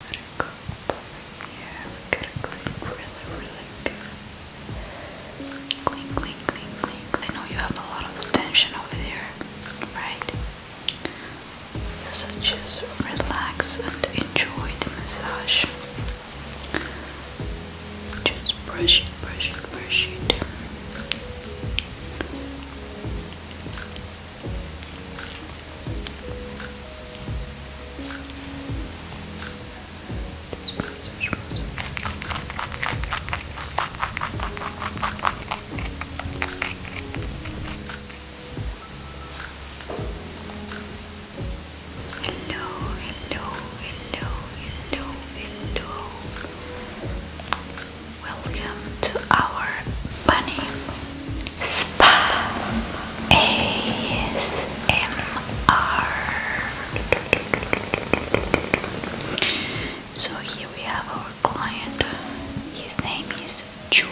Let We gotta really, really good. I know you have a lot of tension over there, right? So just relax and enjoy the massage. Just brush it, brush it, brush it. Hello, hello, hello, hello, hello. Welcome to our bunny Spa ASMR. So here we have our client. His name is Chu,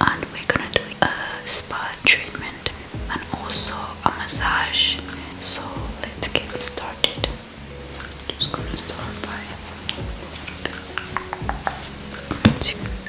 and we're gonna do a spa treatment and also a massage. So let's get started. Just gonna start by.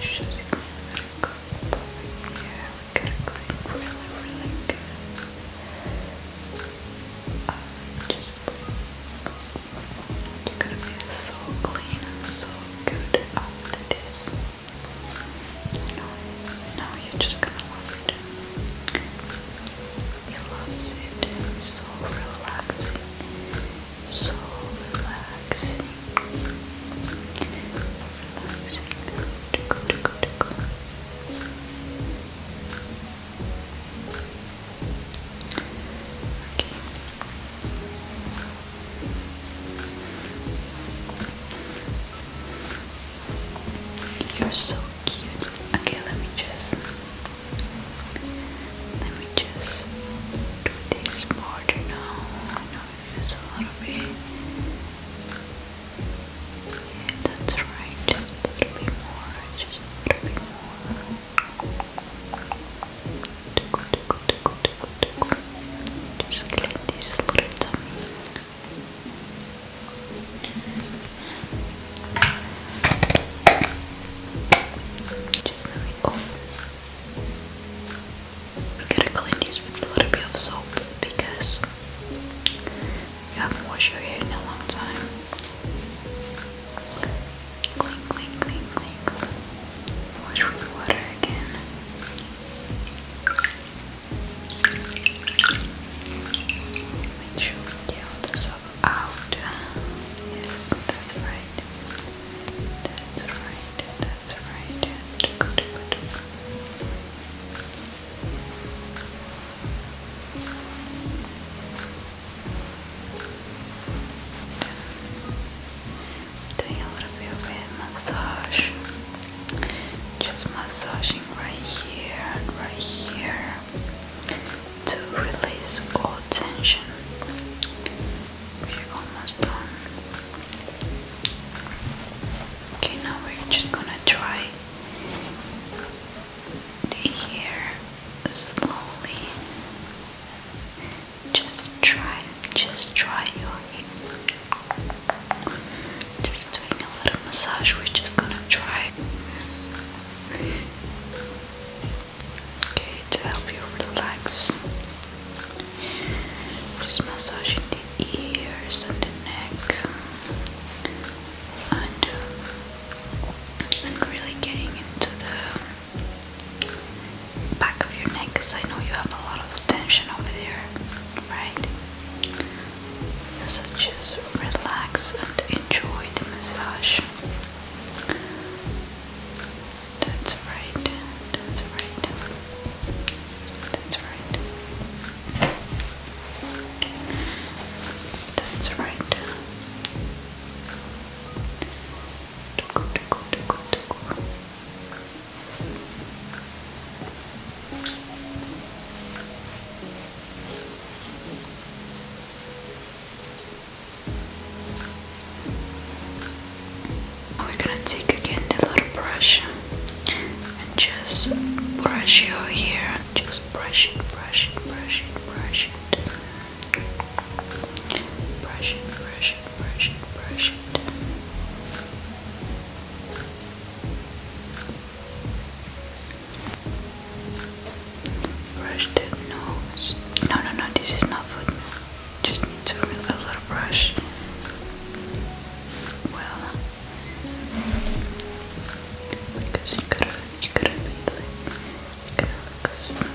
just gonna go over here. We're gonna go really, really good. you're gonna be so clean and so good after this. You know, you're just gonna love it. He loves it. so relaxing. So relaxing. You're so cute. Okay, let me just let me just do this border now this a little bit. Yeah, that's right, just a little bit more, just a little bit more. Just clean this little tummy. Just so we open. I'm gonna clean this with a bit of soap because you haven't washed your hair in a long time. Clean, clean, clean, clean, Wash with water again. Make sure we get all the soap out. Yes, that's right. That's right that's right, Doing a little bit of massage, just massaging right here right here to release all tension. We're almost done. Okay, now we're just gonna try the hair slowly. Just try, just try your hair. Just doing a little massage, we're just gonna try. Okay, to help you relax. Just massaging the ears and the neck and, uh, and really getting into the back of your neck because I know you have a lot of tension over there, right? So just relax and enjoy the massage. That's right. That's right. That's right. That's right. Tuku, tuku, tuku, tuku. That's right we're gonna take again the little brush and just brush your hair. Just brush it, brush it, brush it, brush it. Brush it, brush it, brush it, brush it. Brush the nose. No, no, no, this is not food. Just need to remove a little brush. Well, because you could have, you could have been like, kind of like this. Okay.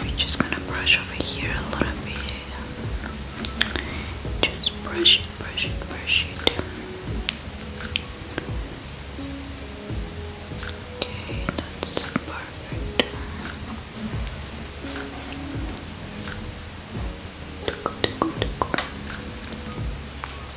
We're just gonna brush over here a little bit. Just brush it, brush it, brush it. Okay, that's perfect. Tickle, tickle, tickle.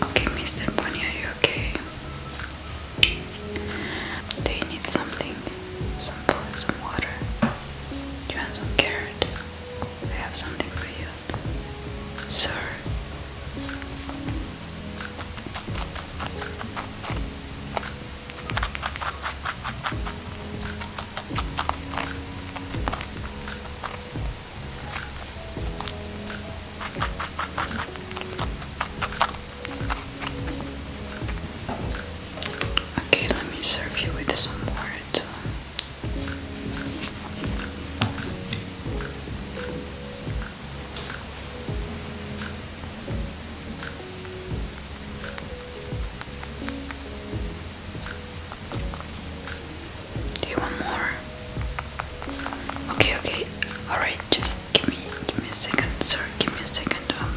Okay, Mr. Bunny, are you okay? Do you need something? Some food, some water? you want some carrot? I have something for you. Sir, Okay, let me serve you with some more do you want more? Okay, okay. All right, just give me, give me a second, sir. Give me a second. Um,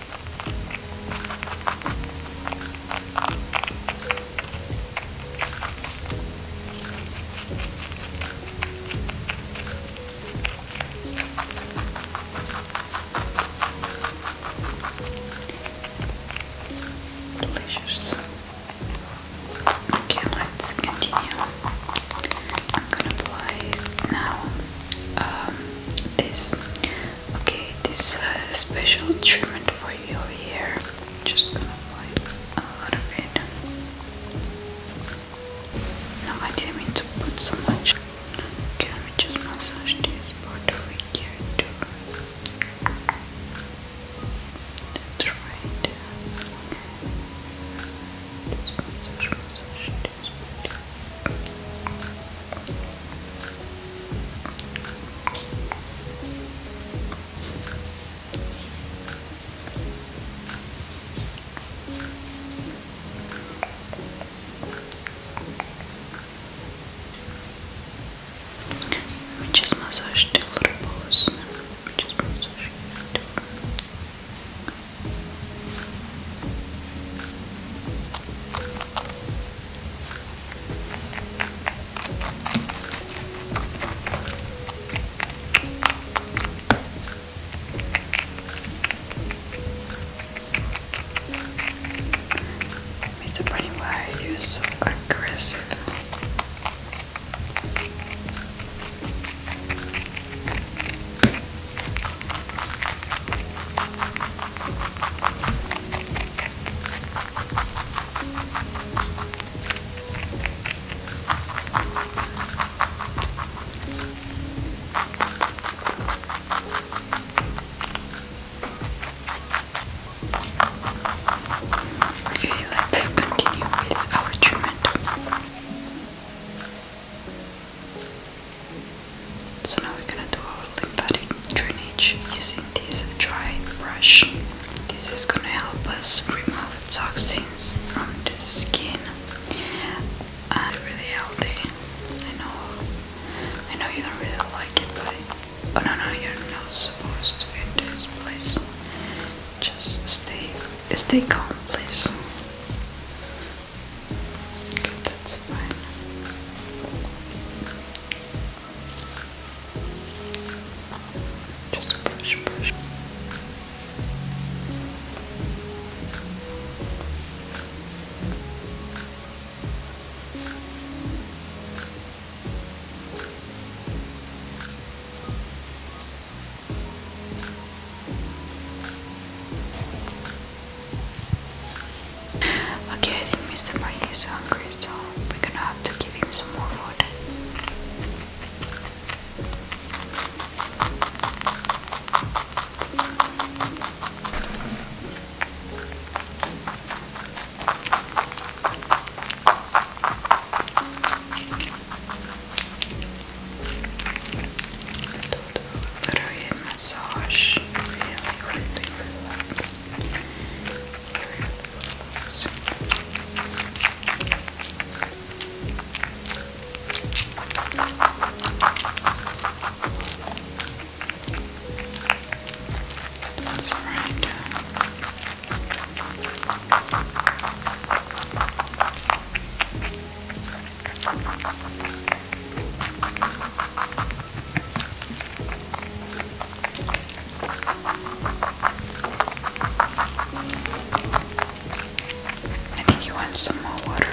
Delicious. Okay, let's continue. I'm gonna apply now um, this Okay, this is a special treatment for your hair. just gonna apply a lot of it. No, I didn't mean to put so much. Okay, let me just massage this part over here too. That's right. We just massage the little balls. Mr. Bunny, why are you so aggressive? Okay, let's continue with our treatment. So now we're gonna do our lymphatic drainage using this dry brush. This is gonna help us remove toxins from the skin. And uh, really healthy. I know I know you don't really like it but oh no no you're not supposed to be this place. Just stay stay calm please. That's fine. Just brush, brush. Okay, I think Mr. Marty is hungry, so we're gonna have to give him some more food do the root massage. That's right. I think you want some more water.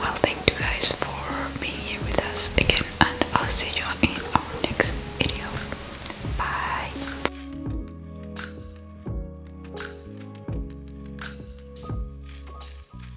Well, thank you guys for being here with us again, and I'll see you in our next video. Bye.